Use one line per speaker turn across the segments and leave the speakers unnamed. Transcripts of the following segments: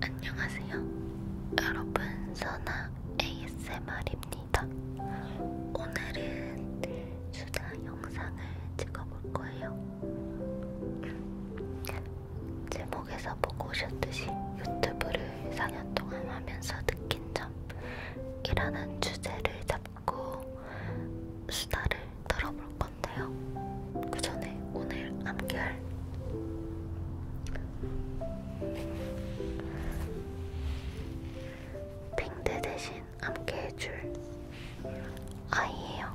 안녕하세요. 여러분, 선아 ASMR입니다. 오늘은 수다 영상을 찍어볼 거예요. 제목에서 보고 오셨듯이 유튜브를 4년 동안 하면서 느낀 점이라는 주제를 잡고 듣고 수다를 들어볼 건데요. 그 전에 오늘 암기할 빙대 대신 암기해줄 아이예요.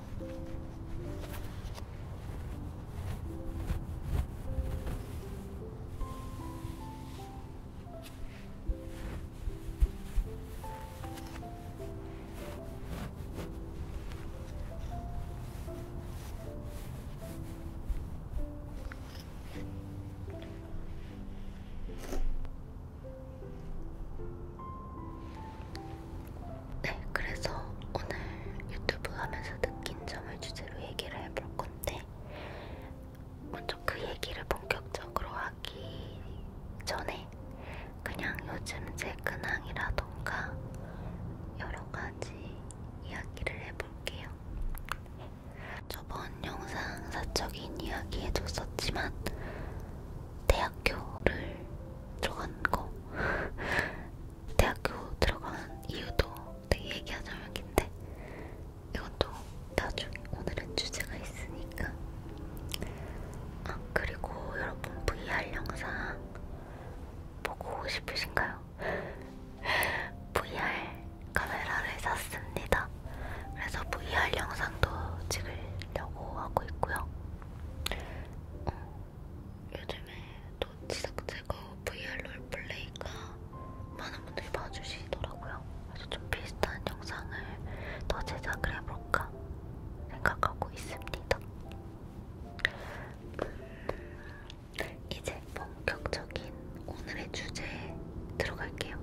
네, 그래서 오늘 유튜브 하면서 느낀 점을 주제로 얘기를 해볼 건데, 먼저 그 얘기를 본격적으로 하기 전에 그냥 요즘 제 근황이라던가 여러가지 이야기를 해볼게요. 저번 영상 사적인 이야기 해줬었지만 대학교를 들어간 거 대학교 들어간 이유도 되게 얘기하자면 긴데 이것도 나중에 오늘은 주제가 있으니까 아, 그리고 여러분 VR 영상 보고 싶으신가요? VR 카메라를 샀습니다. 그래서 VR 영상도 찍으려고 하고 있고요. 어, 요즘에 또 지석재고 VR 롤플레이가 많은 분들이 봐주시더라고요. 그래서 좀 비슷한 영상을 더 제작을 해볼까 생각하고 있습니다. 이제 본격적인 오늘의 주제에 들어갈게요.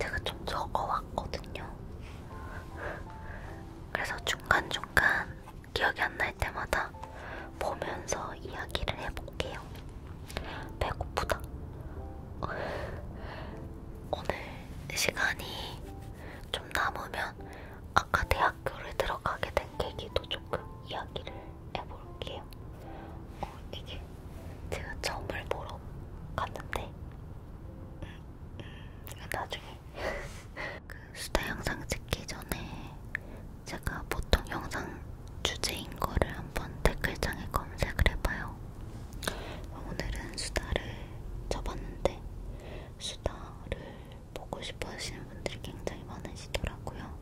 제가 좀 적어왔거든요. 그래서 중간중간 기억이 안 날 때마다 보면서 이야기를 해볼게요. 배고프다. 오늘 시간이 좀 남으면 아까 대학교를 들어가게 된 계기도 조금 이야기를 해볼게요. 어, 이게 제가 점을 보러 갔는데 음, 음, 나중에 그 수다 영상 찍기 전에 제가 보통 영상 주제인 거를 한번 댓글창에 검색을 해봐요. 오늘은 수다를 쳐봤는데 수다를 보고 싶어 하시는 분들이 굉장히 많으시더라고요.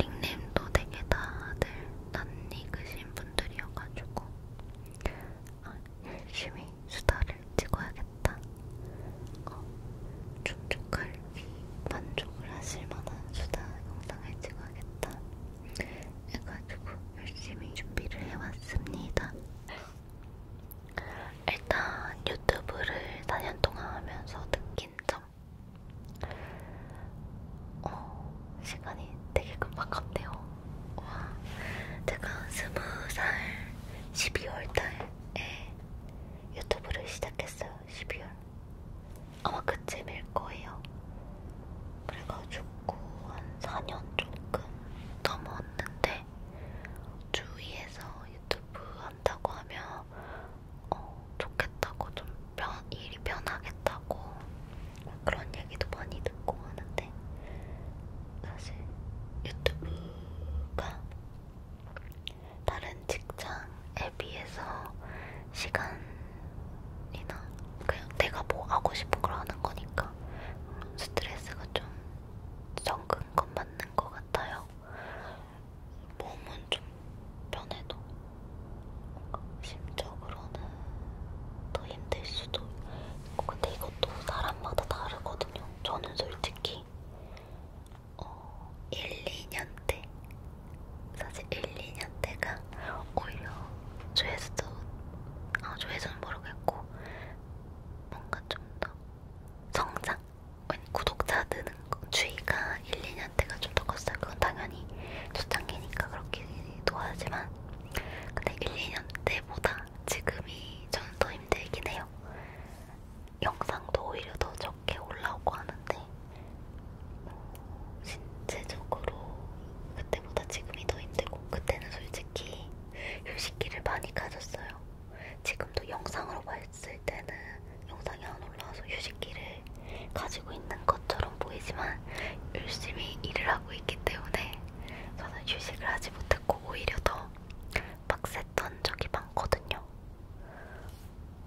닉네임도 되게 다들 낯익으신 분들이어가지고 아, 열심히 수다를 찍어야겠다. 어, 촉촉할 만족을 하실 만한 수다 영상을 찍어야겠다. 해가지고 열심히 준비를 해왔습니다. 일단 유튜브를 4년 동안 하면서 느낀 점 어, 시간이 되게 금방 갔네요 와, 제가 20살 12월달에 유튜브를 시작했어요 12월 아마 그쯤일 거예요 그래가지고 한 4년 조금 넘었는데 주위에서 유튜브 한다고 하면 어, 좋겠다고 좀 편, 일이 편하겠다고 그런 얘기도 많이 듣고 하는데 사실 유튜브가 다른 직장에 비해서 시간이나 그냥 내가 뭐 하고 싶은 걸 하는 거니까 스트레스가 좀 적은 건 맞는 것 같아요. 몸은 좀 편해도 심적으로는 더 힘들 수도 있고 근데 이것도 사람마다 다르거든요. 저는 솔직히 어, 1, 2년 때 사실 1, 2년 때가 오히려 조회수도 아, 조회수는 모르겠고 뭔가 좀 더 성장? 구독자 느는 거, 주의가 1, 2년 때가 좀 더 컸어요. 그건 당연히 초창기니까 그렇기도 하지만 근데 1, 2년 때보다 지금이 저는 더 힘들긴 해요. 영상도 오히려 더 적게 올라오고 하는데 뭐 신체적으로 그때보다 지금이 더 힘들고 그때는 솔직히 휴식기를 많이 가졌어요. 지금도 영상으로 봤을 때는 영상이 안 올라와서 휴식기를 가지고 있는 것처럼 보이지만 열심히 일을 하고 있기 때문에 저는 휴식을 하지 못했고 오히려 더 빡셌던 적이 많거든요.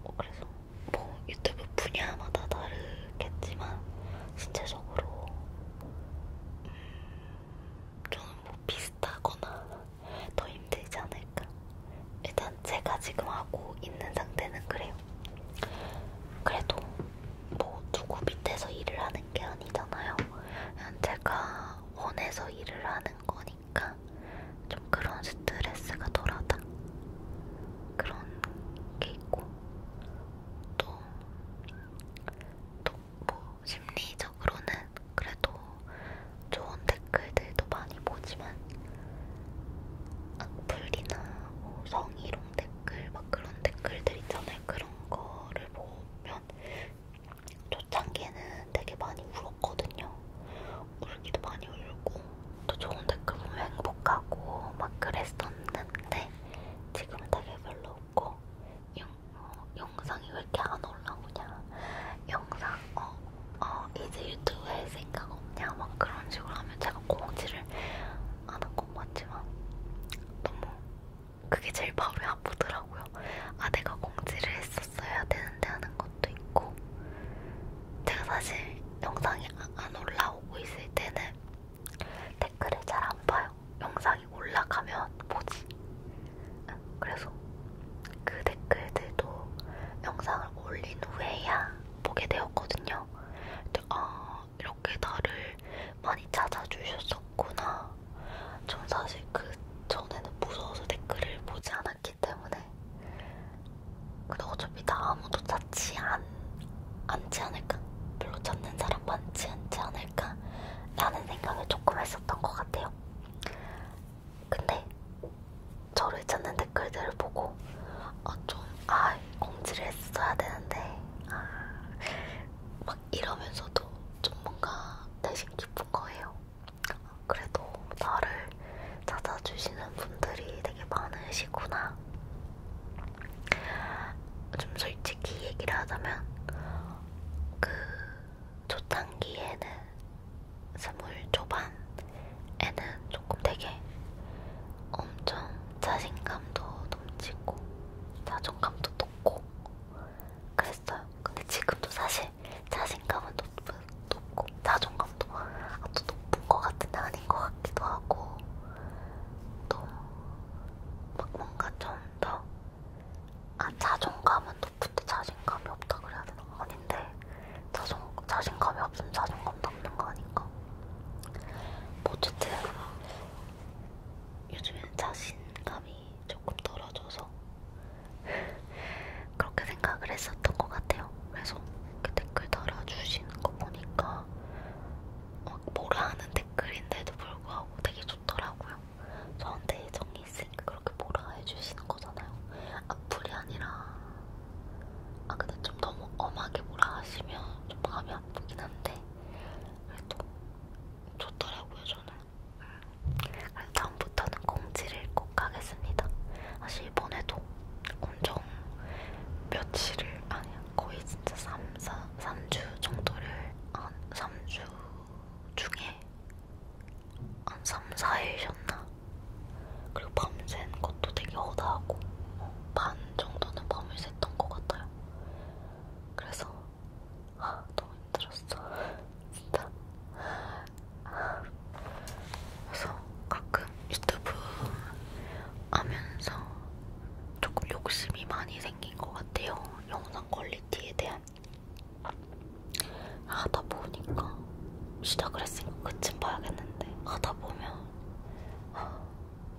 어, 그래서 뭐 유튜브 분야마다 다르겠지만 신체적으로 음, 좀뭐 비슷하거나 더 힘들지 않을까. 일단 제가 지금 하고 있는 상태는 그래요. 그래도 뭐 누구 밑에서 일을 하는 게 아니잖아요. 그냥 제가 원해서 일을 하는 거니까 좀 그런 스트레스가 덜하다. 그런 게 있고 또또뭐 심리적으로는 그래도 좋은 댓글들도 많이 보지만 악플이나 뭐 성희롱 댓글 막 그런 댓글들 있잖아요. 그런 거를 보면 초창기에는 되게 많이 울었거든요. 울기도 많이 울고 또 좋은 댓글 보면 행복하고 막 그랬었는데 지금은 되게 별로 없고 영, 어, 영상이 왜 이렇게 안 올라오냐 영상 어, 어 이제 유튜브 할 생각 없냐 막 그런 식으로 하면 제가 공지를 안한것 같지만 너무 그게 제일 바로에 아프더라고요 아 내가 공지를 했었어야 되는데 하는 것도 있고 제가 사실 영상이 아, 안 올라오고 있을 때는 댓글을 잘 안 봐요. 영상이 올라가면 보지. 그래서 그 댓글들도 영상을 올린 후에야 보게 되었거든요. 근데 아 이렇게 나를 많이 찾아주셨었구나. 전 사실 그 전에는 무서워서 댓글을 보지 않았기 때문에. 근데 어차피 나 아무도 찾지 않, 않지 않을까? 별로 찾는 사람 많지 않지 않을까? 않을까? 라는 생각을 조금 했었던 것 같아요. 근데 저를 찾는 댓글들을 보고 어, 좀, 아, 공지를 했어야 되는데 아, 막 이러면서도 좀 뭔가 내심 기쁜 거예요. 그래도 나를 찾아주시는 분들이 되게 많으시구나. 좀 솔직히 얘기를 하자면 그 초창기에는 스물 초반에는 조금 되게 엄청 자신감도 넘치고 자존감도 높고 그랬어요. 근데 지금도 사실 자신감은 높은, 높고 자존감도 아주 높은 것 같은데 아닌 것 같기도 하고 또막 뭔가 좀더 아, 자존감은 높은데 자신감이 없다 그래야 되나? 아닌데 자존, 자신감이 없으면 자존감도 없는 거 아닌가? 뭐 어쨌든 요즘엔 자신감이 조금 떨어져서 그렇게 생각을 했었던 것 같아요. 그래서 그 댓글 달아주시는 거 보니까 막 어, 뭐라 하는 댓글인데도 불구하고 되게 좋더라고요. 저한테 애정이 있으니까 그렇게 뭐라 해주시는 거잖아요. 악플이 아, 아니라 아 근데 좀 너무 엄하게 뭐라 하시면 좀 마음이 아프긴 한데 그래도 좋더라고요 저는. 음. 그럼 다음부터는 공지를 꼭 하겠습니다. 사실 이번에도 엄청 며칠을 아니야 거의 진짜 3, 4, 3주 정도를 한 3주 중에 한 3, 4일이셨나? 그리고 밤샌 것도 되게 허다하고 반 정도는 밤을 샜던 것 같아요. 그래서 아, 너무 힘들었어. 진짜. 그래서 가끔 유튜브 하면서 조금 욕심이 많이 생긴 것 같아요. 영상 퀄리티에 대한. 아, 하다 보니까 시작을 했으니까 끝은 봐야겠는데 하다 보면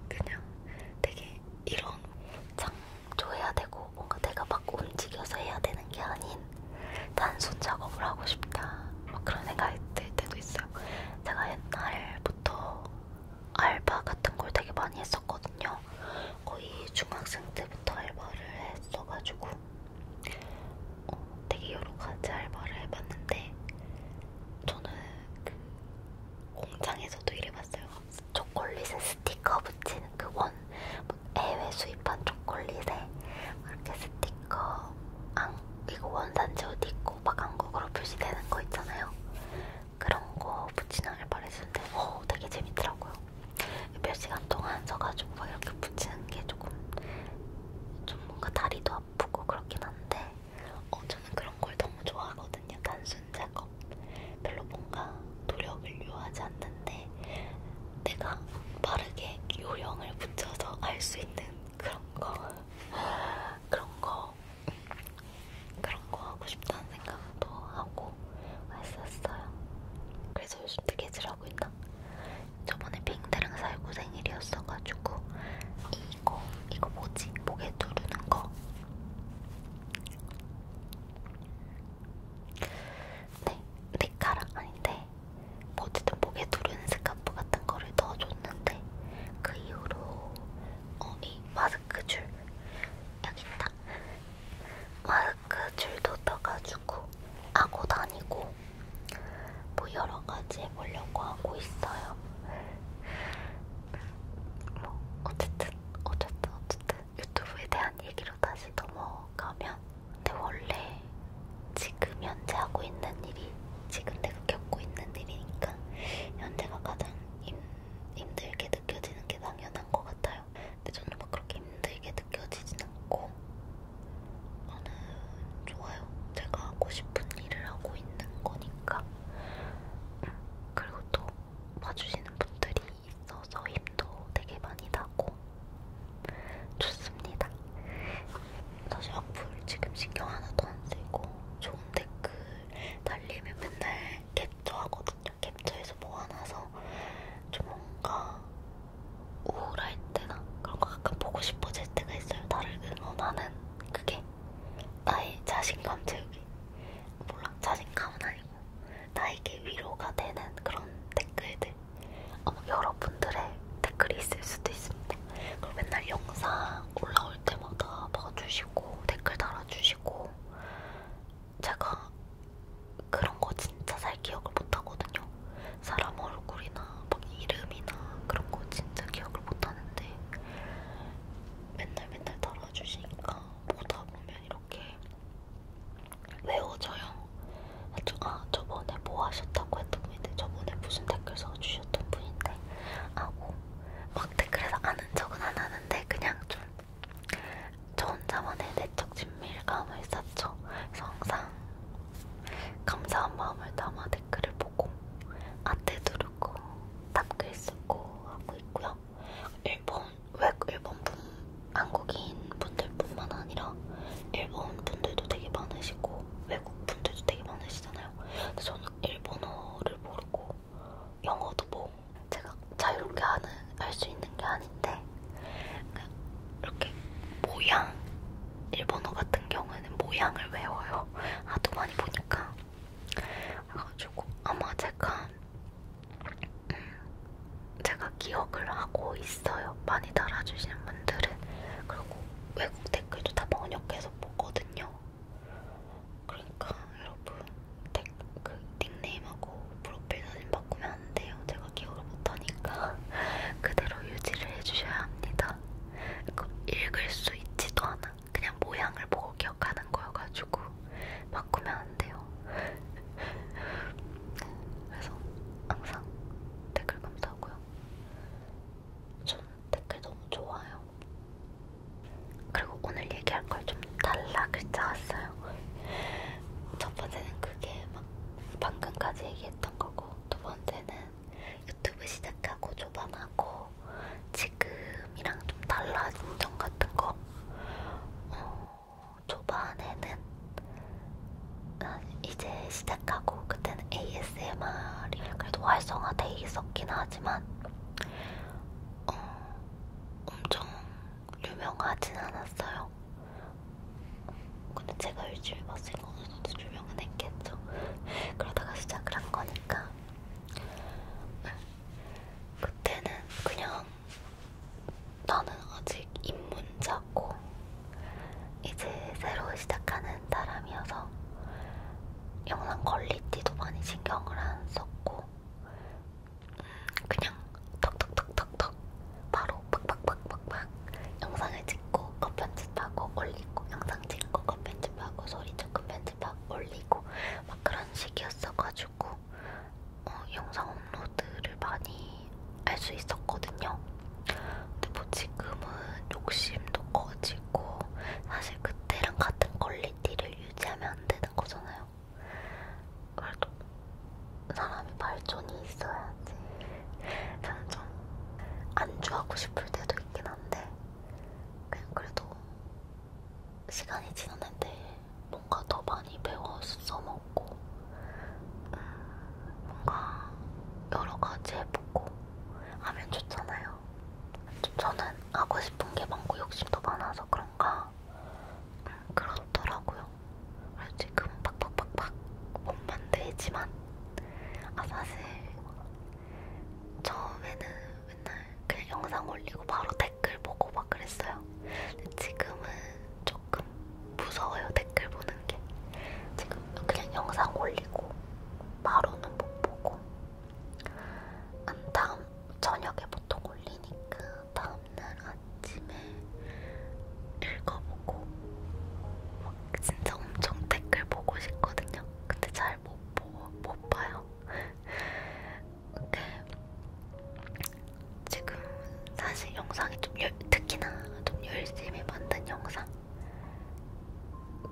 그냥 되게 이런 창조해야 되고 뭔가 내가 막 움직여서 해야 되는 게 아닌 단순 작업을 하고 싶다 막 그런 생각이 들 때도 있어요. 제가 옛날부터 알바 같은 걸 되게 많이 했었거든요. 거의 중학생 때부터 알바를 했어가지고 어, 되게 여러 가지 알바를 해봤는데 저는 그 공장에서도 일해봤어요. 초콜릿에 스티커 붙이는 그원 뭐 해외 수입한 초콜릿에 이렇게 스티커 안, 이거 원산지 어디 있고 막 한국으로 표시되는 거 있잖아요. 그런 거 붙이는 알바를 했었는데 오, 어, 되게 재밌더라고요. 몇 시간 동안 서가지고 막 이렇게 붙이는 게 조금 좀 뭔가 다리도 아프고 그렇긴 한데 어, 저는 그런 걸 너무 좋아하거든요. 단순 작업. 별로 뭔가 노력을 요하지 않는데 내가 빠르게 요령을 붙여서 알수 있는 그런 거 그런 거 그런 거 하고 싶다는 생각도 하고 했었어요. 그래서 요즘 뜨개질하고 있나? 저번에 빙대랑 살구 생일이었어가지고 이거 이거 뭐지? 목에 두르는 거. 네, 네카락 아닌데 어쨌든 목에 두르는 스카프 같은 거를 넣어줬는데 그 이후로 어, 이 마스크 줄 여기 있다. 마, 그 줄도 떠가지고 하고 다니고 뭐 여러 가지 해보려고 하고 있어요. 뭐 어쨌든 어쨌든 어쨌든 유튜브에 대한 얘기로 다시 넘어가면 근데 원래 지금 현재 하고 있는 일이 지금 내가 겪고 있는 일이니까 현재가 가장 힘, 힘들게 느껴지는 게 당연한 것 같아요. 있어요. 근데 저는 막 그렇게 힘들게 느껴지진 않고 저는 좋아요. 제가 하고 싶은 일을 하고 있는 거니까 음, 그리고 또 봐주시는 분들이 있어서 힘도 되게 많이 나고 좋습니다. 사실 악플 지금 신경 하나도 안 쓰고 좋은 댓글 달리면 맨날 캡처하거든요. 있거든요. 캡처해서 모아놔서 좀 뭔가 우울할 때나 그런 거 가끔 보고 싶어질 때가 있어요. 나를 응원하는 그게 나의 자신감 채우기. 몰라, 자신감은 아니고 나에게 위로가 되는 그런 댓글들. 아마 어, 뭐 여러분들의 댓글이 있을 수도 있습니다. 그리고 맨날 영상 올라올 때마다 봐주시고 댓글 달아주시고 제가 그런 거 진짜 잘 기억을 못하거든요. 사람 얼굴이나 막 뭐 이름이나 그런 거 진짜 기억을 못하는데 맨날 맨날 달아주시니까 보다 보면 이렇게 외워져요. 아 저번에 뭐 하셨다고 했던 분인데 저번에 무슨 댓글 써주셨던 분인데 하고 막 댓글에서 아는 척은 안 하는데 그냥 좀저 혼자만의 내적 친밀감을 쌓죠. 그래서 항상 감사한 마음을 담아 댓글을 보고 아트 두르고 답글 쓰고 하고 있고요. 일본 외 일본 분 한국인 분들뿐만 아니라 일본 분들도 되게 많으시고 외국 분들도 되게 많으시잖아요. 근데 저는 일본어를 모르고 영어도 뭐 제가 자유롭게 할 수 있는 게 아닌데 그냥 그러니까 이렇게 모양 일본어 같은 경우에는 모양을 외워요. 하도 많이 보니까 그래가지고 아마 제가 음, 제가 기억을 하고 있어요. 많이 달아주시는 분들은 그리고 외국 댓글도 다 번역해서 보거든요. 그러니까 여러분 텍, 그 닉네임하고 프로필 사진 바꾸면 안 돼요. 제가 기억을 못하니까 그대로 유지를 해주셔야 합니다. 그 읽을 수 있지도 않아. 그냥 모양을 보고 기억하는 거여가지고 바꾸면 안 돼요. 그래서 항상 댓글 감사하고요. 저는 댓글 너무 좋아요. 그리고 오늘 얘기할 걸좀 단락을 짜왔어요. 첫 번째는 그게 막 방금까지 얘기했던 거고, 두 번째는 유튜브 시작하고 초반하고 지금이랑 좀 달라진 점 같은 거. 어, 초반에는 아, 이제 시작하고 그때는 ASMR이 그래도 활성화돼 있었긴 하지만 어, 엄청 유명하진 않았어요. 근데 제가 일주일 봤을 거는 유명은 했겠죠. 그러다가 시작을 한 거니까. 그때는 그냥 나는 아직 입문자고 이제 새로 시작하는 사람이어서 영상 퀄리티도 많이 신경을 안 썼고 그냥 턱턱턱턱턱 바로 팍팍팍팍팍 영상을 찍고 컷 편집하고 올리고 영상 찍고 컷 편집하고 소리 조금 편집하고 올리고 막 그런 식이었어가지고 어, 영상 업로드를 많이 할 수 있었거든요. 근데 뭐 지금은 욕심도 커지고 사실 그때랑 같은 퀄리티를 유지하면 안 되는 거잖아요. 그래도 사람이 발전이 있어야지. 저는 좀 안주하고 싶을 때도 있긴 한데 그냥 그래도 시간이 지났는데 뭔가 더 많이 배워서 먹고 음, 뭔가 여러 가지 해보고 하면 좋잖아요. 저는 하고 싶은 게 많고 욕심도 많아서 그런가 음, 그렇더라고요. 지금 음 팍팍팍팍 못 만들지만 아 사실 처음에는 맨날 그냥 영상 올리고 바로 댓글 보고 막 그랬어요. 근데 지금은 조금 무서워요 댓글 보는 게. 지금 그냥 영상 올리고 바로는 못 보고 안 다음 저녁에 보통 올리니까 다음날 아침에 읽어보고 막 진짜 엄청 댓글 보고 싶거든요. 근데 잘못 못 봐요. 근데 지금 사실 영상이 좀 열, 특히나 좀 열심히 만든 영상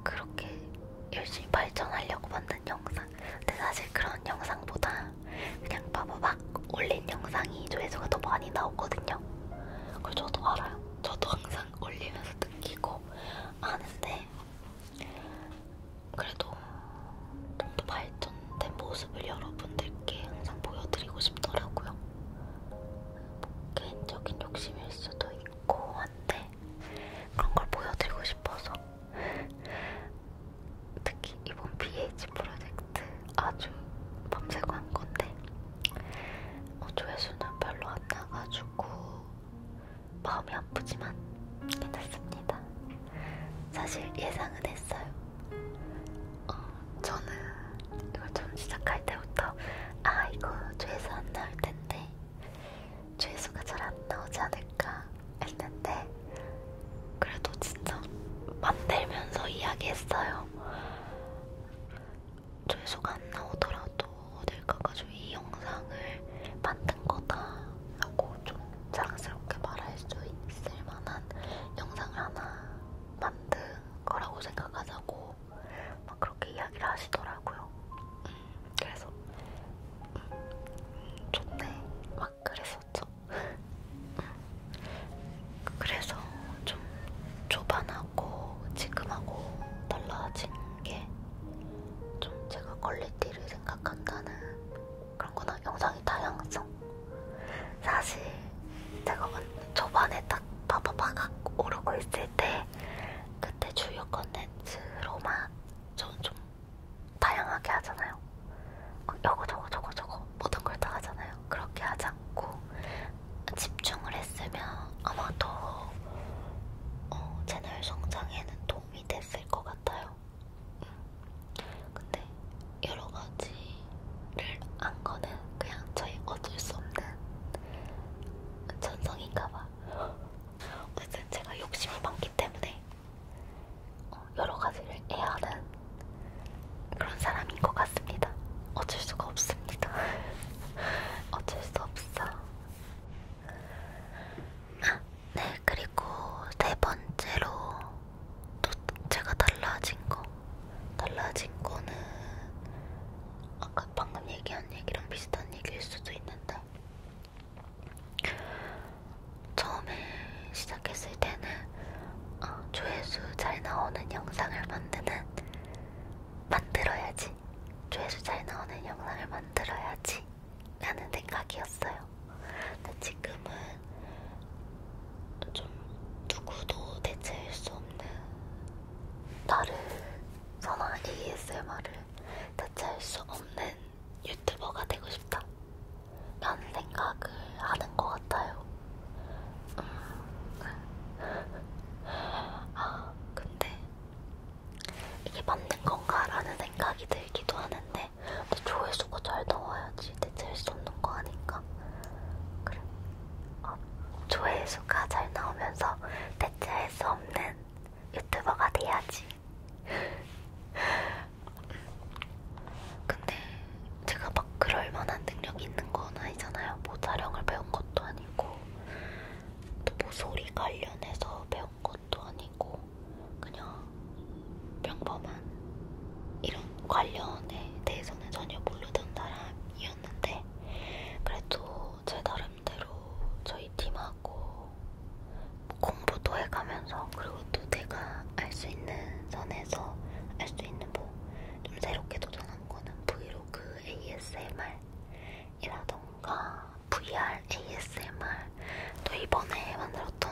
그렇게 열심히 발전하려고 만든 영상 근데 사실 그런 영상보다 그냥 바보박 올린 영상이 조회수가 더 많이 나오거든요. 그걸 저도 알아요. 저도 항상 올리면서 느끼고 아는데 그래도 좀 더 발전된 모습을 여러분들께 항상 보여드리고 싶더라고요. 뭐 개인적인 욕심일 수도 있고 한데 그런 걸 보여드리고 싶어서 특히 이번 BH 프로젝트 아주 밤새고한 건데 어, 조회수는 별로 안 나가지고 마음이 아프지만 괜찮습니다. 사실 예상은 했어요. 어, 저는 이걸 처음 시작할 때부터 아 이거 조회수 안 나올 텐데 조회수가 잘 안 나오지 않을까 했는데 그래도 진짜 만들면서 이야기했어요. 조회수가 안 나오더라도 어딜 가가지고 이 영상을 만든 거다 라고 좀 자랑스럽게 말할 수 있을 만한 영상을 하나 만든 거라고 생각하자고 막 그렇게 이야기를 하시더라고요. 음, 그래서 음, 좋네. 막 그랬었죠. 그래서 좀 초반하고 지금하고 달라진 게 좀 제가 퀄리티를 생각한다는 그런 거나 영상의 다양성. 사실 제가 초반에 딱 바바바각 오르고 있을 때 그때 주요 컨텐츠로만 저는 좀 다양하게 하잖아요. 하잖아요. 어, 요거 저거 저거 저거 모든 걸 다 하잖아요. 그렇게 하지 않고 집중을 했으면 아마 더 어, 채널 성장에는 도움이 됐을 것 같아요. 음. 근데 여러 가지를 한 거는 그냥 저희 어쩔 수 없는 전성인가봐. 어쨌든 제가 욕심이 많기 때문에 어, 여러 가지를 애하는 그런 사람인 것 같습니다. 어쩔 수가 없습니다. 어쩔 수 없어. 아, 네, 그리고 네 번째로 또 제가 달라진 거. 달라진 거는 아까 방금 얘기한 얘기랑 비슷한 얘기일 수도 있는데 처음에 시작했을 때는 어, 조회수 잘 나오는 영상을 만드는 만들어야지 조회수 잘 나오는 영상을 만들어야지 라는 생각이었어요. 근데 지금은 좀 누구도 대체할 수 없는 나를 선화 ASMR을 대체할 수 없는 유튜버가 되고 싶다. 딴 생각을 하는 것 같아요. 음. 아, 근데 이게 맞는 건가라는 생각이 들기도 하는데 근데 조회수가 잘 나와야지 대체할 수 없는 거 아닌가? 그래. 어, 아, 조회수가 잘 나오면서 대체할 수 없는 유튜버가 돼야지. 근데 제가 막 그럴 만한 능력이 있는 건 아니잖아요. 뭐 자령을 배운 것도 아니고 또 뭐 소리 관련해서 배운 것도 아니고 그냥 평범한 이런 관련에 대해서는 전혀 모르던 사람이었는데 그래도 제 나름대로 저희 팀하고 공부도 해가면서 그리고 또 내가 알 수 있는 선에서 알 수 있는 뭐좀 새롭게 도전한 거는 브이로그 ASMR이라던가 VR ASMR 또 이번에 만들었던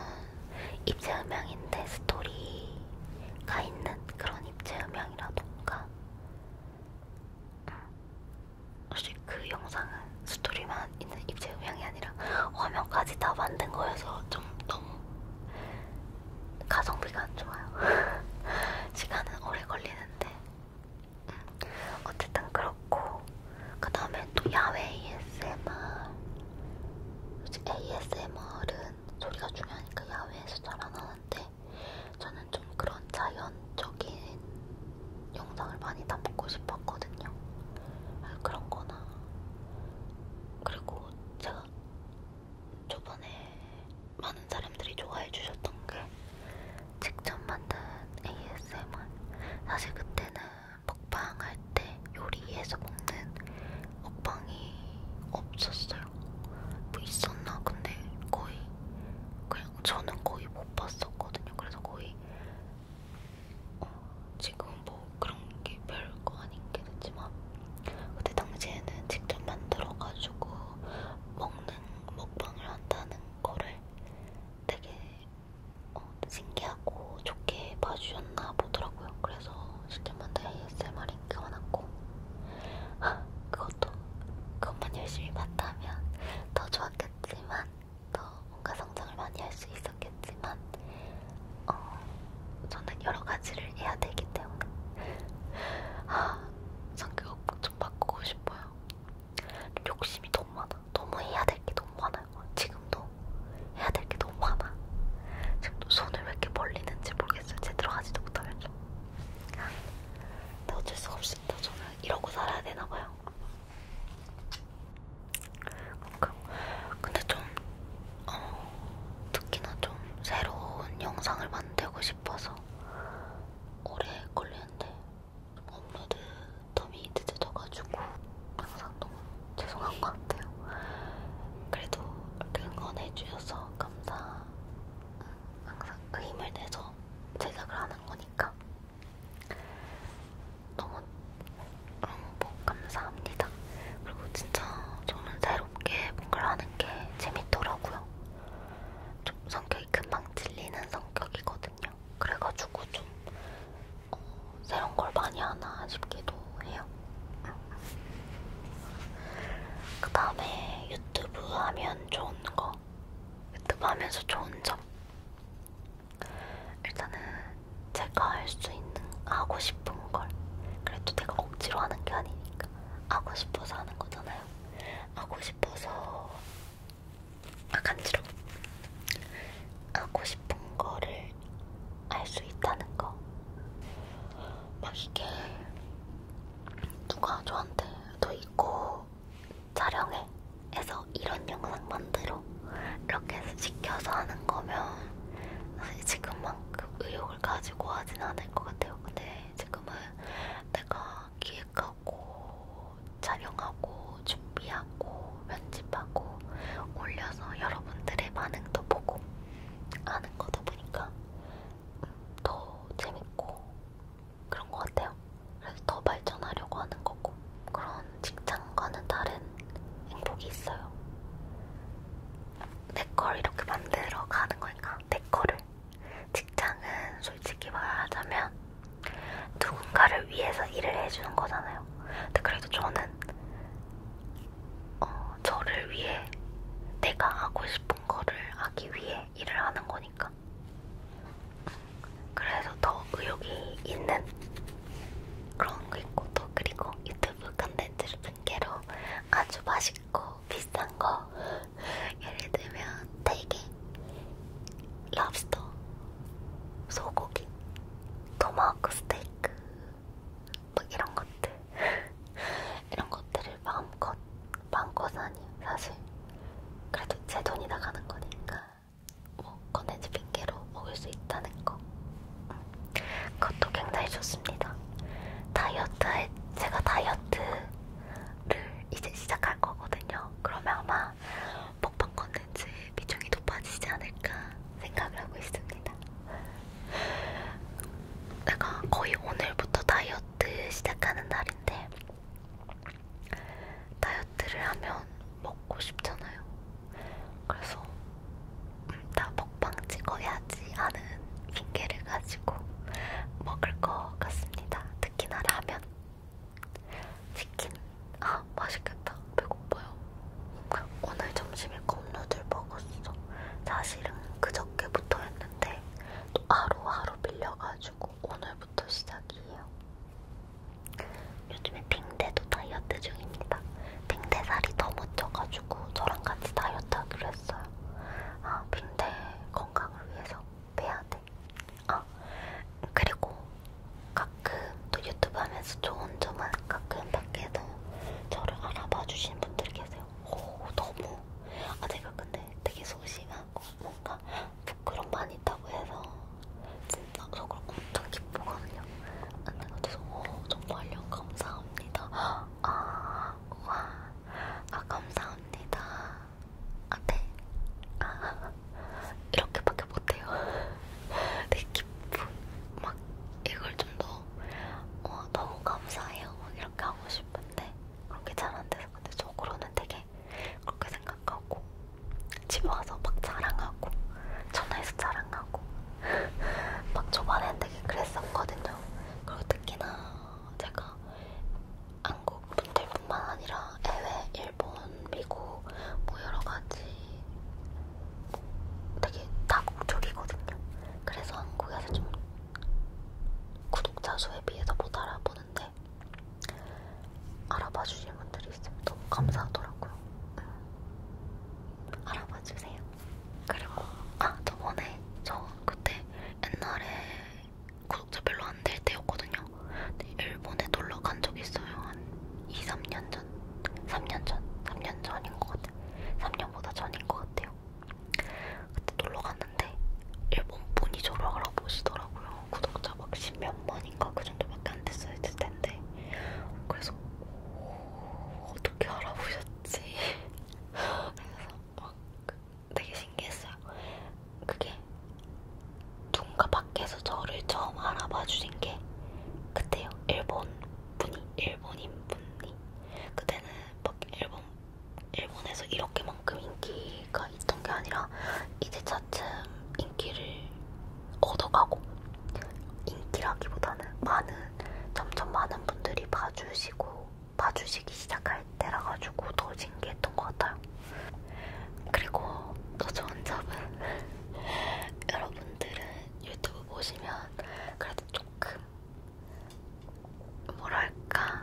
입체음향인데 스토리가 있는 그런 입체음향이라던가 사실 음, 그 영상은 스토리만 있는 입체음향이 아니라 화면까지 다 만든 거여서 좀 너무 가성비가 안 좋아요. 시간은 오래 걸리는데 음, 어쨌든 그렇고 그 다음에 또 야외 ASMR 요즘 ASMR은 소리가 중요하니까 야외에서 잘 안 하는데 저는 좀 그런 자연적인 영상을 많이 담고 싶었거든요. 아, 그런 거나 그리고 제가 저번에 많은 사람들이 좋아해 주셨던 게 직접 만든 ASMR. 사실 그때는 먹방 할때 요리해서 먹는 먹방이 없었어요. 뭐 있었나? 근데 거의 그냥 저는 거의 못 봤었거든요. 그래서 거의 어, 지금 뭐 그런 게 별거 아닌 게 됐지만 그때 당시에는 직접 만들어가지고 먹는 먹방을 한다는 거를 되게 어, 신기하고 좋게 봐주셨나 보더라고요. 그래서 직접 만든 ASMR인 게 많았고 아, 그것도 그것만 열심히 봤다면 더 좋았겠지만 더 뭔가 성장을 많이 할 수 있었겠지만 어, 저는 여러 가지를 해야 되기 때문에 아, 성격 좀 바꾸고 싶어요. 욕심이 너무 많아. 너무 해야 될게 너무 많아요. 지금도 해야 될게 너무 많아. 지금도 손을 왜 이렇게 벌리는지 모르겠어요. 제대로 하지도 못하면서. 근데 어쩔 수가 없습니다. 저는 이러고 살아야 되나 봐요. 근데 좀 어, 특히나 좀 새로운 영상을 만들고 싶어서 오래 걸리는데 업로드 텀이 늦어져가지고 항상 너무 죄송한 것 같아요. 그래도 응원해주셔서 감사. 음, 항상 그 힘을 내서 제작을 하는 거니까 너무 행복 음, 뭐 감사합니다. 있습니다. 그리고 진짜 저는 새롭게 뭔가를 하는 게 재밌더라고요. 좀 성격이 금방 질리는 성격이거든요. 그래가지고 좀 어, 새로운 걸 많이 하나 싶기도 해요. 그 다음에 유튜브 하면 좋은 거. 유튜브 하면서 좋은 점. 일단은 제가 할 수 있는, 하고 싶은 걸. 그래도 내가 억지로 하는 게 아니니까. 하고 싶어서 하는 거잖아요. 하고 싶어서 아 간지러워. 하고 싶은 거를 알 수 있다는 거. 막 이게 누가 저한테 너 이거 촬영해 해서 이런 영상 만들어 이렇게 해서 시켜서 하는 거면 사실 지금만큼 의욕을 가지고 하진 않을 것 같아요. 근데 지금은 내가 기획하고 촬영하고 준비하고 편집하고 올려서 여러분들의 반응도 보고 아는 거다 보니까 더 재밌고 그런 것 같아요. 그래서 더 발전하려고 하는 거고 그런 직장과는 다른 행복이 있어요. 내걸 이렇게 만들어 가는 거니까 내 거를 직장은 솔직히 말하자면 누군가를 위해서 일을 해주는 거잖아요. 근데 그래도 저는 어, 저를 위해 내가 하고 싶은 거를 하기 위해 일을 하는 거니까 그래서 더 의욕이 있는 그런 거 있고 또 그리고 유튜브 컨텐츠를 핑계로 아주 맛있고 비싼 거 예를 들면 대게, 랍스터, 소고기, 토마호크 스테이크 막 뭐 이런 것들 이런 것들을 마음껏 마음껏 아니 사실 그래도 제 돈이 나가는 거니까 뭐 컨텐츠 핑계로 먹을 수 있다는 거 음. 그것도 굉장히 좋습니다. 다이어트에 제가 다이어트를 이제 시작할 거거든요. 그러면 아마 먹방 컨텐츠 비중이 높아지지 않을까 생각을 하고 있습니다. 내가 거의 오늘부터 다이어트 시작하는 날인데 다이어트를 하면 먹고 싶잖아요. 그래서 나 먹방 찍어야지 하는 핑계를 가지고 먹을 것 같습니다. 특히나 라면, 치킨. 아 맛있겠다. 배고파요. 오늘 점심에 컵누들 먹었어. 사실은 그저께부터였는데 또 하루하루 밀려가지고 오늘부터 시작이에요. 요즘에 빙대도 다이어트 중입니다. 빙대살이 너무 쪄가지고 저랑 같이 다이어트 하기로 알았어요. 아, 근데 건강을 위해서 빼야 돼. 아, 그리고 가끔 또 유튜브 하면서 좋은 점은 가끔 밖에서 저를 알아봐 주시는 분들이 계세요. 오, 너무. 아, 제가 근데 되게 소심하고 뭔가 부끄럼 많이 있다고 해서 진짜 속으로 엄청 기쁘거든요. 아, 근데 그래서 오, 정말요. 감사합니다. 아, 와, 아, 감사합니다. 아, 네. 아, 이렇게밖에 못해요. 내 네, 기쁨, 막, 이걸 좀 더, 어, 너무 감사해요. 이렇게 하고 싶은데, 그렇게 잘 안 돼서. 근데 속으로는 되게 그렇게 생각하고, 집에 와서 막 자랑하고, 전화해서 자랑하고, 막 초반엔 되게 그랬었거든요. 그리고 특히나 제가 한국 분들뿐만 아니라 해외, 일본, 미국 뭐 여러 가지 되게 다국적이거든요. 그래서 한국에서 좀 구독자 수에 비해서 못 알아보는데 알아봐 주신 분들이 있으면 너무 감사하더라고요. 알아봐 주세요. 그리고 아 저번에 저 그때 옛날에 구독자 별로 안 될 때였거든요. 근데 일본에 놀러 간 적이 있어요. 한 2, 3년 전, 3년 전, 3년 전인 것 같아요. 3년보다 전인 것 같아요. 그때 놀러 갔는데 일본 분이 저를 알아보시더라고요. 구독자 막 십몇 만인가 그 정도밖에 안 됐을 텐데 그래서 오, 어, 어떻게 알아보셨지? 그래서 막 그 되게 신기했어요. 그게 누군가 밖에서 저를 처음 알아봐 주신 게 그때요. 일본 분이, 일본인 분이. 그때는 막 일본, 일본에서 이렇게만큼 인기가 있던 게 아니라 이제 차츰 인기를 얻어가고 인기라기보다는 많은, 점점 많은 분들이 봐주시고 봐주시기 시작할 때라 가지고 더 신기했던 것 같아요. 그리고 더 좋은 점은 여러분들은 유튜브 보시면 그래도 조금 뭐랄까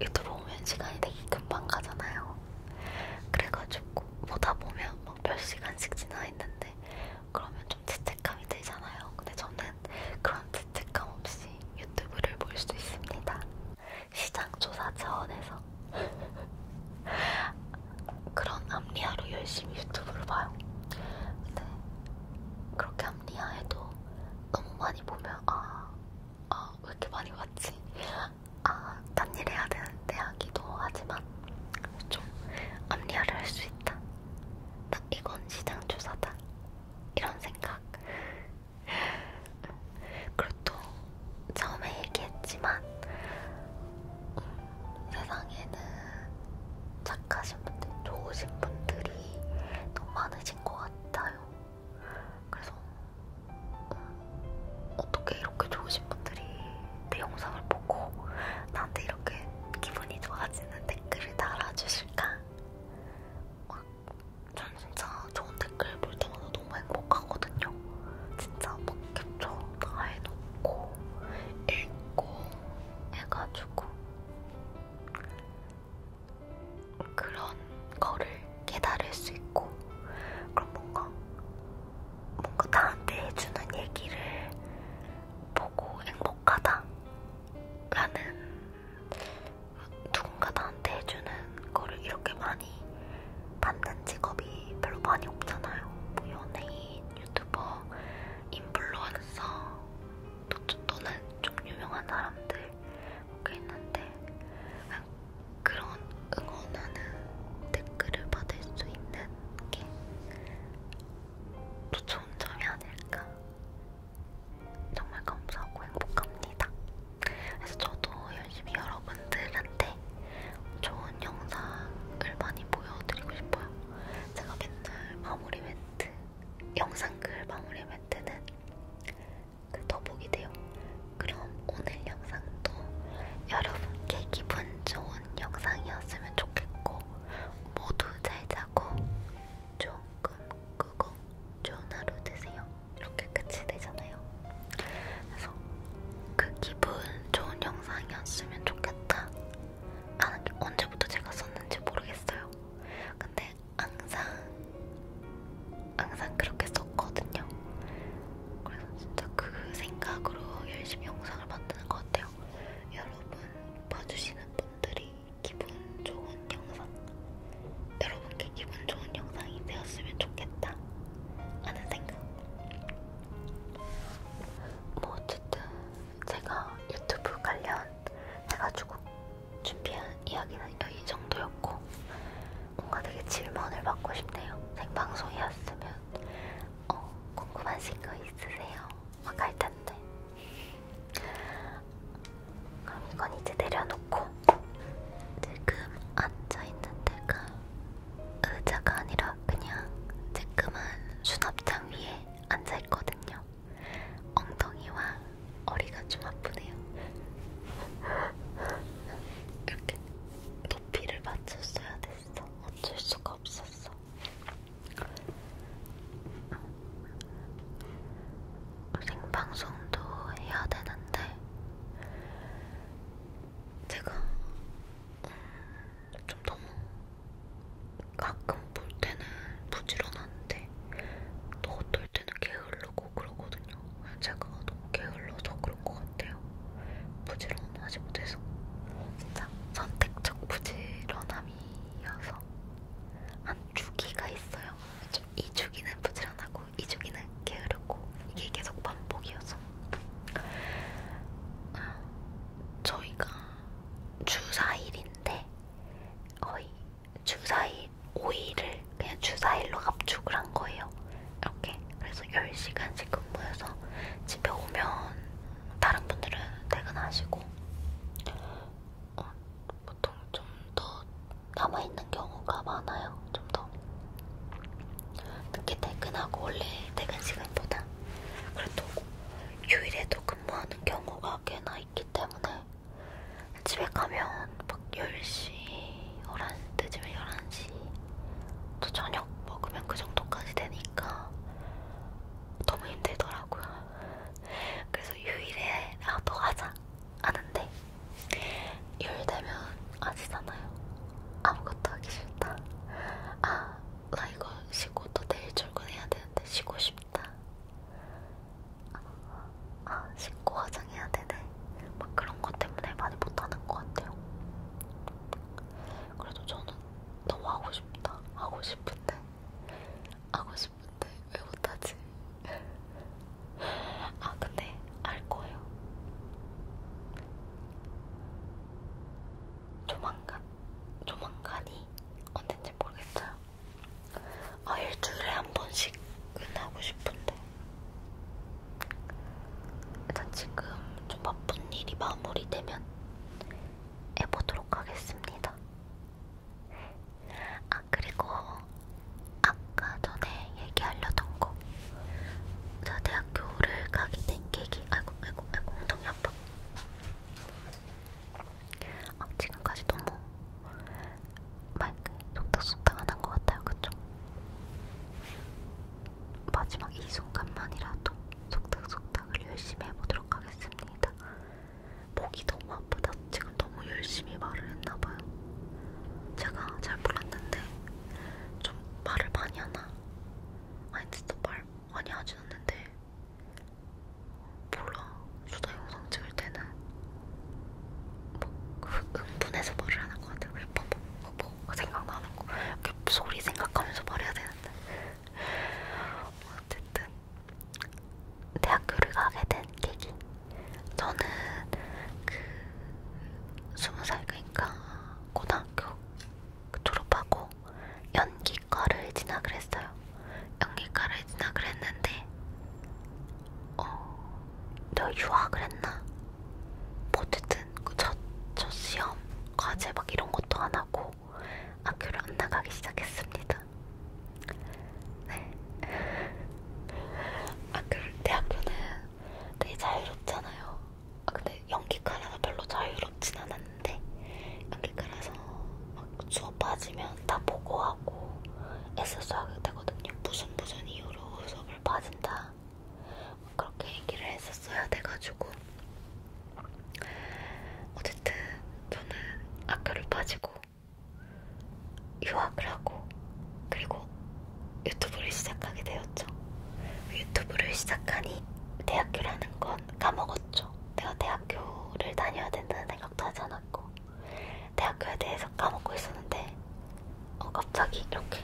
유튜브 보면 시간이 되게 금방 가잖아요. 그래가지고 보다 보면 막 몇 시간씩 지나 있는데 그러면 좀 죄책감이 들잖아요. 근데 저는 그런 죄책감 없이 유튜브를 볼 수 있습니다. 시장조사 차원에서 그런 암리아로 열심히 유튜브를 봐요. 근데 그렇게 암리아에도 너무 많이 보면 아, 아, 왜 이렇게 많이 봤지? 아, 딴일 해야 되는데 하기도 하지만 좀 암리아를 할 수 있다. 나 이건 시장조사다. 이런 생각. 그렇죠. 처음에 얘기했지만 음, 세상에는 착하신 분들, 좋으신 분들이 너무 많으신 것 같아요. 그래서 음, 어떻게 이렇게 좋으신 분들이 내 영상을 보고 나한테 이렇게 기분이 좋아지는 댓글을 달아주실까? 전 진짜 좋은 댓글 볼 때마다 너무 행복하거든요. 진짜 막 캡처 다 해놓고 읽고 해가지고 그런 거를 깨달을 수 있고 그런 뭔가 뭔가 나한테 해주는 얘기를 보고 행복하다라는 누군가 나한테 해주는 거를 이렇게 많이 받는 직업이 별로 많이 없잖아요. 뭐 연예인, 유튜버, 인플루언서, 또, 또는 좀 유명한 사람들 그렇게 뭐 있는데 그런 응원하는 댓글을 받을 수 있는 게 또 좋은 점이 아닐까 정말 감사하고 행복합니다. 그래서 저도 열심히 여러분들한테 좋은 영상을 많이 보여드리고 싶어요. 제가 맨날 마무리 멘트, 영상글 마무리 멘트는 그 더보기 돼요. 그럼 오늘 영상도 여러분께 기분 좋은 영상이었으면 좋겠고 모두 잘 자고 조금 끄고 좋은 하루 되세요. 이렇게 끝이 되잖아요. 그래서 그 기분 좋은 영상이었으면 좋겠다. 하는 게 언제부터 제가 썼는지 모르겠어요. 근데 항상 항상 그렇게 썼거든요. 그래서 진짜 그 생각으로 열심히 영상을 만드는 것 같아요. 여러분 봐주시는 분들이 기분 좋은 영상, 여러분께 기분 좋은 영상이 되었으면 좋겠다 하는 생각. 뭐 어쨌든 제가 유튜브 관련 해가지고 준비한 이야기는 이 정도였고 뭔가 되게 질문을 받고 싶네요. 생방송이었으면 어, 궁금하신 거 있으세요? 막할 텐데. 그럼 이건 이제 내려놓고 지금 앉아 있는 데가 의자가 아니라 그냥 쬐끄만 수납장 위에 앉아 있거든요. 엉덩이와 어리가 좀 아프네요. 이렇게 높이를 맞췄어야 됐어. 어쩔 수가 없었어. 생방송도 해야 되는데 제가 음, 좀 너무 가끔 볼 때는 부지런한데 또 어떨 때는 게을르고 그러거든요. 제가 너무 게을러서 그런 것 같아요. 부지런하지 못해서 진짜 선택적 부지런함이어서 한 주기가 있어요. 이 주기는 부지런하고 이 주기는 게으르고 이게 계속 반복이어서 아, 저희가 주 4일인데 거의 주 4일 5일을 그냥 주 4일로 압축을 한 거예요. 이렇게 그래서 10시간씩 근무해서 집에 오면 다른 분들은 퇴근하시고 어, 보통 좀 더 남아있는 경우가 많아요. 좀 더 늦게 퇴근하고 원래 퇴근 시간보다 그래도 휴일에도 근무하는 경우가 꽤나 있기 때문에 집에 가면 막 10시, 11시, 늦으면 11시 또 저녁 먹으면 그 정도까지 되니까 너무 힘들더라고요. 그래서 유일에 나도 아, 하자 하는데 요일 되면 아시잖아요. 아무것도 하기 싫다. 아, 나 이거 쉬고 또 내일 출근해야 되는데 쉬고 싶다. 아, 아 씻고 화장해야 되네. 막 그런 것 때문에 많이 못하는 것 같아요. 그래도 저는 너무 하고 싶다. 하고 싶은데 하고 싶은데 왜 못하지? 아 근데 알 거예요. 조만간, 조만간이 언젠지 모르겠어요. 아 일주일에 한 번씩은 하고 싶은데 일단 지금 좀 바쁜 일이 마무리되면 해보도록 하겠습니다. 아 아, 그리고 아까 전에 얘기하려던 거. 저 대학교를 가게 된 계기. 아이고, 아이고, 아이고, 엉덩이 아파. 아, 지금까지 너무 마이크 속닥속닥 안 한 것 같아요, 그쵸? 마지막 이 순간만이라도 속닥속닥을 열심히 해보도록 하겠습니다. 목이 너무 아프다. 지금 너무 열심히 말을 했나봐요. 제가 잘 몰랐는데 좀 말을 많이 하나? 아니 진짜 말 많이 하진 않는데 몰라. 수다 영상 찍을 때는 뭐 그 흥분해서 말을 하는 것 같아요. 뭐, 뭐, 뭐 생각나는 거 이렇게 소리 생각하면서 말해야 되는데 어쨌든 대학교를 가게 된 계기. 저는 그 스무 살 그러니까 고등학교 그 졸업하고 연기과를 진학을 했어요. 연기과를 진학을 했는데 어, 내가 유학을 했나? 뭐 어쨌든 그 첫, 첫 시험 과제 막 이런 것도 안 하고 학교를 안 나가기 시작했습니다. 아, 그 대학교는 되게 자유롭잖아요. 아, 근데 연기과라서 별로 자유롭진 않았는데 연기과라서 막 수업 빠지면 다 보고하고 애써서 하게 되거든요. 무슨 무슨 이유로 수업을 빠진다. 그렇게 얘기를 했었어야 돼가지고 어쨌든 저는 학교를 빠지고 유학을 하고 그리고 유튜브를 시작하게 되었죠. 유튜브를 시작하니 대학교라는 건 까먹었죠. 내가 대학교를 다녀야 된다는 생각도 하지 않았고 대학교에 대해서 까먹고 있었는데 어, 갑자기 이렇게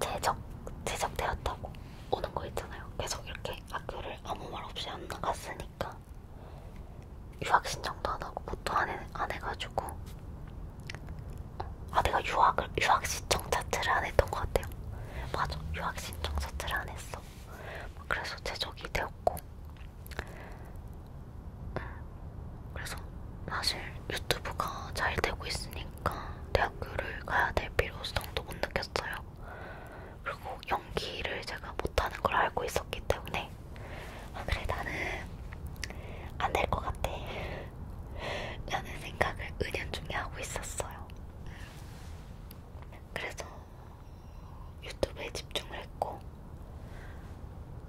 재적, 재적되었다고 오는 거 있잖아요. 계속 이렇게 학교를 아무 말 없이 안 나갔으니까 유학 신청도 안 하고 뭣도 안, 해, 안 해가지고 아 내가 유학을 유학 신청 자체를 안 했던 것 같아요. 맞아 유학 신청 자체를 안 했어. 그래서 제적이 되었고 음, 그래서 사실 유튜브가 잘 되고 있으니까 대학교를 가야 될 필요성도 못 느꼈어요. 그리고 연기를 제가 못하는 걸 알고 있었기 때문에 아 그래 나는 안 될 것 같아 라는 생각을 은연중에 하고 있었어요 그래서 유튜브에 집중을 했고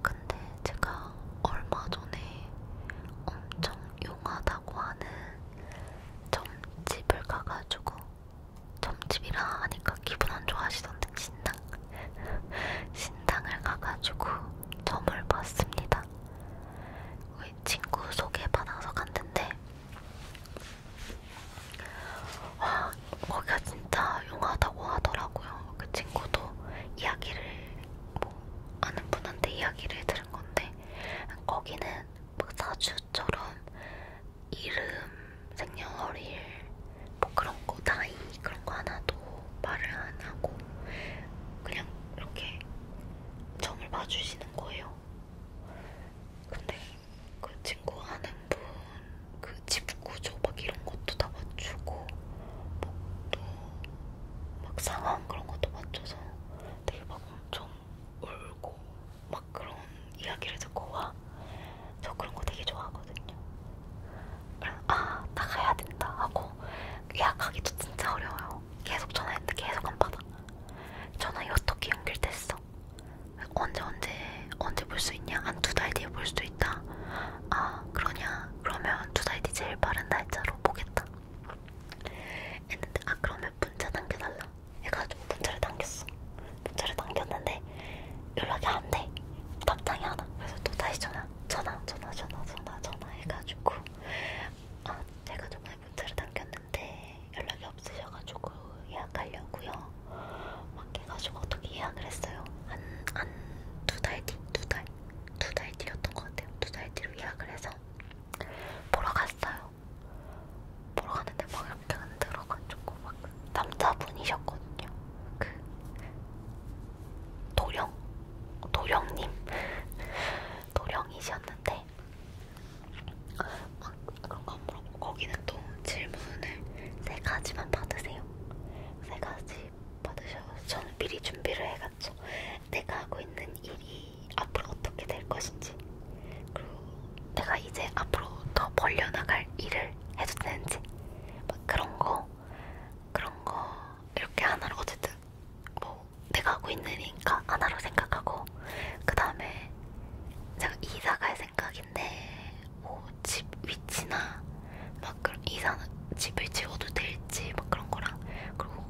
근데 제가 얼마 전에 엄청 용하다고 하는 점집을 가가지고 점집이라 하니까 기분 안 좋아하시던데 신당 신당을 가가지고 점을 봤습니다. 우리 친구 소개받아서 갔는데 와 거기가 진짜 용하다고 하더라고요. 그 친구도 이야기를 뭐 아는 분한테 이야기를 들은 건데 거기는 막 뭐 사주처럼 이름, 생년월일, 뭐 그런 거, 나이 그런 거 하나도 말을 안 하고 그냥 이렇게 점을 봐주시는 거예요. 근데 그 친구 아는 분, 그 집 구조 막 이런 것도 다 맞추고 목도 뭐 막 상황 그런 것도 맞춰서 되게 막 엄청 울고 막 그런 이야기를 듣고 와 저 그런 거 되게 좋아하거든요. 그래서 아 나가야 된다 하고 예약하기도 진짜 어려워요. 계속 전화했는데 계속 안 받아. 전화이 어떻게 연결됐어? 언제 언제 언제 볼 수 있냐? 한 두 달 뒤에 볼 수도 있다. 아 그러냐? 그러면 두달 뒤 제일 빠른 날짜로 보겠다. 했는데 아 그러면 문자 당겨달라. 해가지고 문자를 당겼어. 문자를 남겼는데 연락이 안 돼. 답장이 안 와. 그래서 또 다시 전화, 전화, 전화, 전화, 전화, 전화 해가지고 아 제가 정말 문자를 남겼는데 연락이 없으셔가지고 예약하려고요. 막 해가지고 어떻게 예약을 했어요. 한한 두 달 뒤, 두 달, 두 달 뒤였던 것 같아요. 두 달 뒤로 예약을 해서 보러 갔어요. 보러 가는데 막 이렇게 흔들어가지고 막 남자분이셨거든요. 그 도령 도령님 도령이셨는데 막 그런 거 물어보고 거기는 또 질문을 세 가지만 받으세요. 세 가지 받으셔서 저는 미리 준비를 해갔죠. 내가 하고 있는 일이 앞으로 어떻게 될 것인지 그리고 내가 이제 앞으로 더 벌려나갈 일을 뭘 해줬는지 막 그런 거 그런 거 이렇게 하나로 어쨌든 뭐 내가 하고 있는 일이니까 하나로 생각하고 그 다음에 제가 이사갈 생각인데 뭐 집 위치나 막 그런 이사 집을 지워도 될지 막 그런 거랑 그리고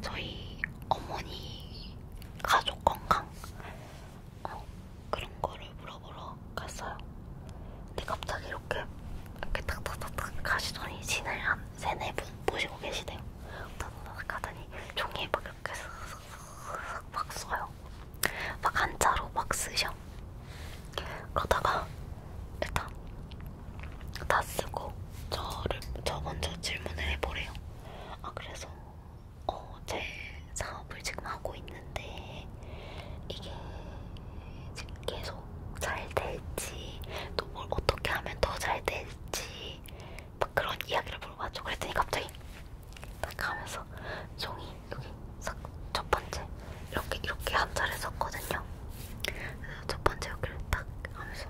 저희 어머니 가족 건강 어, 그런 거를 물어보러 갔어요. 근데 갑자기 이렇게 이렇게 탁탁탁탁 가시더니 진을 한 세네 분 모시고 계시대요. 탁탁탁 가더니 종이에 막 이렇게 슥슥슥 막 써요. 막 한자로 막 쓰셔. 그러다가 일단 다 쓰고 저를 저 먼저 질문을 해보래요. 아 그래서 어제 사업을 지금 하고 있는데 이게 지금 계속 잘 될지 또 뭘 어떻게 하면 더 잘 될지 막 그런 이야기를 물어봐줘. 그랬더니 갑자기 딱 하면서 종이 여기 첫 번째 이렇게 이렇게 한 자를 썼거든요. 그래서 첫 번째 여기를 딱 하면서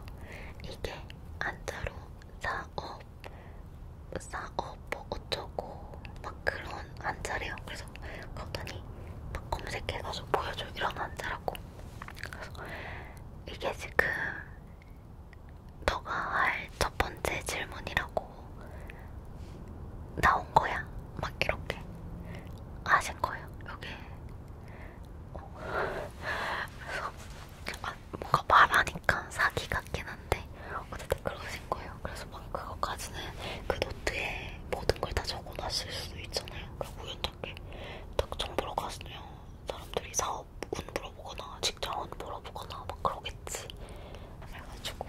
이게 한자로 사업 사업 뭐 어쩌고 막 그런 안자래요. 그래서 갔더니 막 검색해가지고 보여줘 이런 안자라고. 그래서 이게 지금 너가 할 첫 번째 질문이라고 나온 거야. 막 이렇게 아신 거예요. 여기 어. 그래서 아, 뭔가 말하니까 사기 같긴 한데 어쨌든 그러신 거예요. 그래서 막 그거까지는 그 노트에 모든 걸 다 적어놨을 수도 있잖아요. 그러니까 우연찮게 딱 정보로 갔으면 사람들이 사업 운 물어보거나 직장운 물어보거나 막 그러겠지. 그래가지고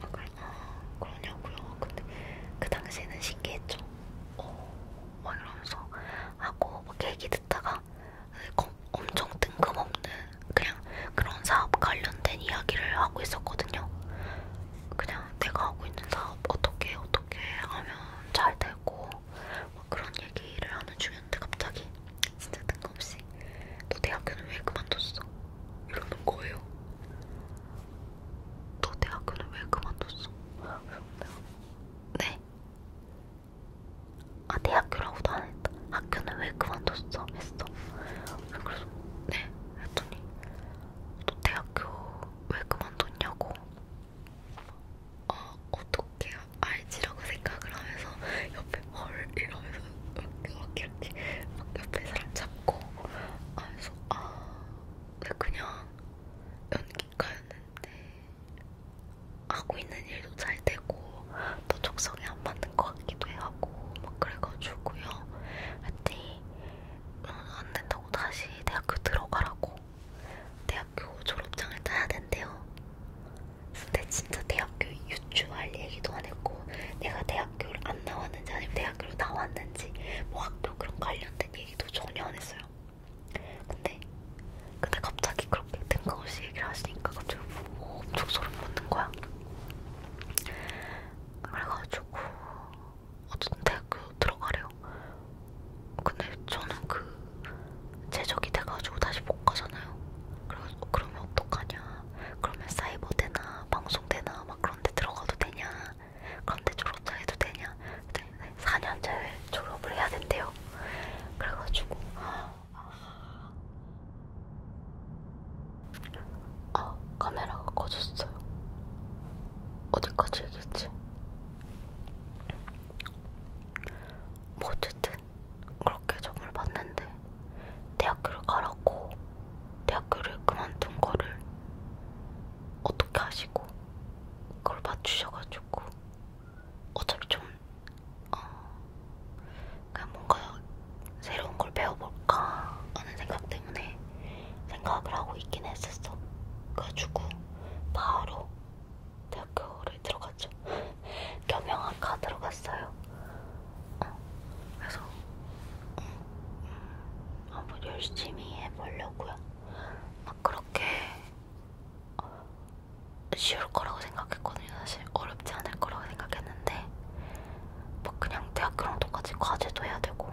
막 아, 그러냐고요. 근데 그 당시에는 신기했죠. 어, 막 이러면서 하고 막 얘기 듣다가 음, 엄청 뜬금없는 그냥 그런 사업 관련된 이야기를 하고 있었거든요. 그냥 내가 하고 있는 사업 어떻게 어떻게 하면 잘 되고 뭐 그런 얘기를 하는 중이었는데 갑자기 진짜 뜬금없이 너 대학교는 왜 그만뒀어? 이러는 거예요. 너 대학교는 왜 그만뒀어? 네. 아 대학교라고도 안 했다. 학교는 왜 그만뒀어? 했어. 그래서 네 했더니 너 대학교 왜 그만뒀냐고 아 어, 어떻게 알지라고 생각을 하면서 옆에 헐 이러면서 이렇게 이렇게 이렇게 막 옆에 사람 잡고 아 그래서 아 근데 그냥 연기가였는데 하고 있는 일도 잘 되고 또 적성에 안 맞는 것 같기도 해요 하고 막 그래가지고요. 그랬더니 응, 어, 안 된다고 다시 대학교 들어가라고. 대학교 졸업장을 따야 된대요. 근데 진짜 대학교 유추할 얘기도 안 했고 내가 대학교를 안 나왔는지 아니면 대학교로 나왔는지 뭐 학교 그런 관련된 얘기도 전혀 안 했어요. 근데 근데 갑자기 그렇게 뜬금없이 얘기를 하시니까 갑자기 뭐 엄청 소름 돋는 거야. 그래가지고 어쨌든 대학교 들어가래요. 근데 저는 그 제적이 돼가지고 다시 못 가잖아요. 그래서 어, 그러면 어떡하냐? 그러면 사이버 되나 방송 되나 막 그런데 들어가도 되냐? 그런데 졸업자해도 되냐? 4년째 졸업을 해야 된대요. 그래가지고. 아, 아, 카메라가 꺼졌어요. 어디까지 얘기했지? 뭐 어쨌든 그렇게 점을 봤는데 대학교를 가라고 대학교를 그만둔 거를 어떻게 하시고 그걸 맞추셔가지고 어차피 좀 어, 그냥 뭔가 새로운 걸 배워볼까 하는 생각 때문에 생각을 하고 있긴 했었어. 그래가지고 바로 대학교를 들어갔죠. 겸영학과 들어갔어요. 어, 그래서 음, 음, 한번 열심히 해보려고요. 막 아, 그렇게 어, 쉬울 거라고 생각했거든요. 사실 어렵지 않을 거라고 생각했는데 뭐 그냥 대학교랑 똑같이 과제도 해야 되고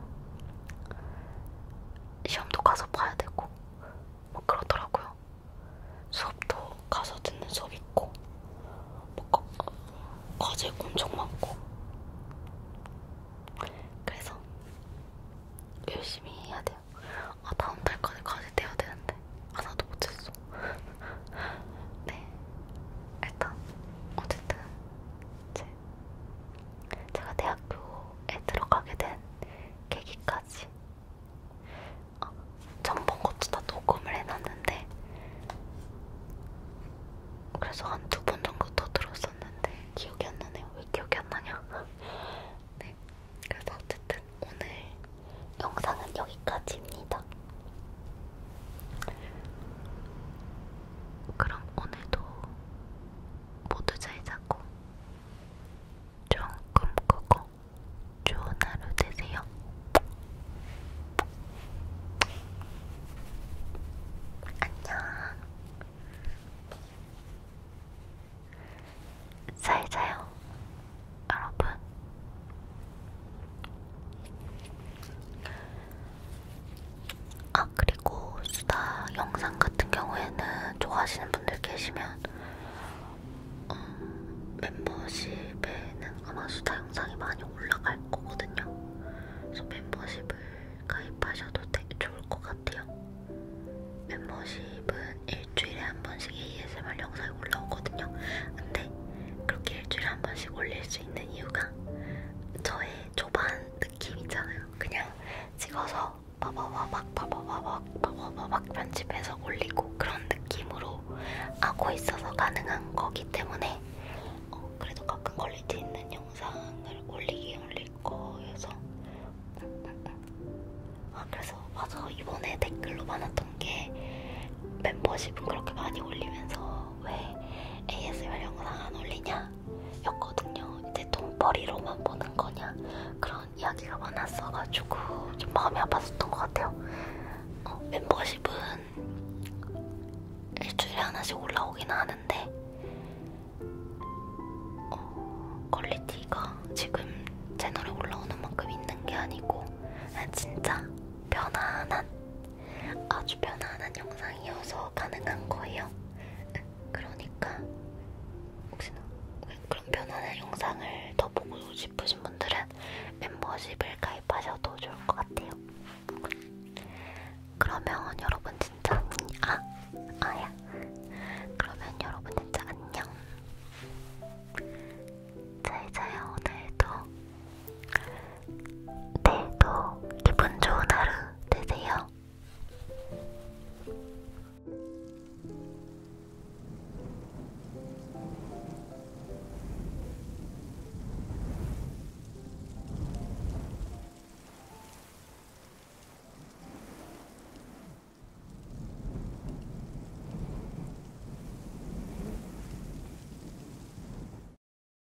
시험도 가서 봐야 되고 뭐 그러더라고요. 수업도 가서 듣는 수업 있고 뭐 거, 과제 엄청 많고 그래서 열심히 해야 돼요. 아 다음 달까지 과제 돼야 되는데 하나도 못했어. 네 일단 어쨌든 이제 제가 대학교에 들어가게 된 계기까지 아, 어, 전번 것도 다 녹음을 해놨는데 그래서 한 두 번 정도 더 들었었는데 기억이 안 나네요. 왜 기억이 안 나냐? 네, 그래서 어쨌든 오늘 영상은 여기까지입니다. 그럼 오늘도 모두 잘 자고 좀 꿈꾸고 좋은 하루 되세요. 안녕. 잘 자요, 여러분. 아 그리고 수다 영상 같은 경우에는 좋아하시는 분들 계시면 어, 멤버십에는 아마 수다 영상이 많이 올라갈 거거든요. 그래서 멤버십을 가입하셔도 되게 좋을 것 같아요. 멤버십은 일주일에 한 번씩 ASMR 영상이 올라오거든요. 근데 그렇게 일주일에 한 번씩 올릴 수 있는 이유가 저의 초반 느낌 있잖아요. 그냥 찍어서 바바바박 바바바박 바바바박 편집해서 올리고 그런 느낌으로 하고 있어서 가능한 거기 때문에 어, 그래도 가끔 퀄리티 있는 영상을 올리긴 올릴 거여서 아 그래서 맞아 이번에 댓글로 많았던 게 멤버십은 그렇게 많이 올리면서 왜 ASMR 영상 안 올리냐? 였거든요. 이제 돈벌이로만 보는 거냐? 그런 이야기가 많았어가지고 좀 마음이 아팠었던 것 같아요. 어, 멤버십은 일주일에 하나씩 올라오긴 하는데 어, 퀄리티가 지금 채널에 올라오는 만큼 있는 게 아니고 아, 진짜 편안한 아주 편안한 영상이어서 가능한 거예요. 그러니까 혹시나 그런 편안한 영상을 더 보고 싶으신 분들은 멤버십을 가입하셔도 좋을 것 같아요. 그러면 여러분 진짜 아 아야 그러면 여러분 진짜 안녕. 잘 자요 오늘도. 내일도 기분 좋은 하루 되세요.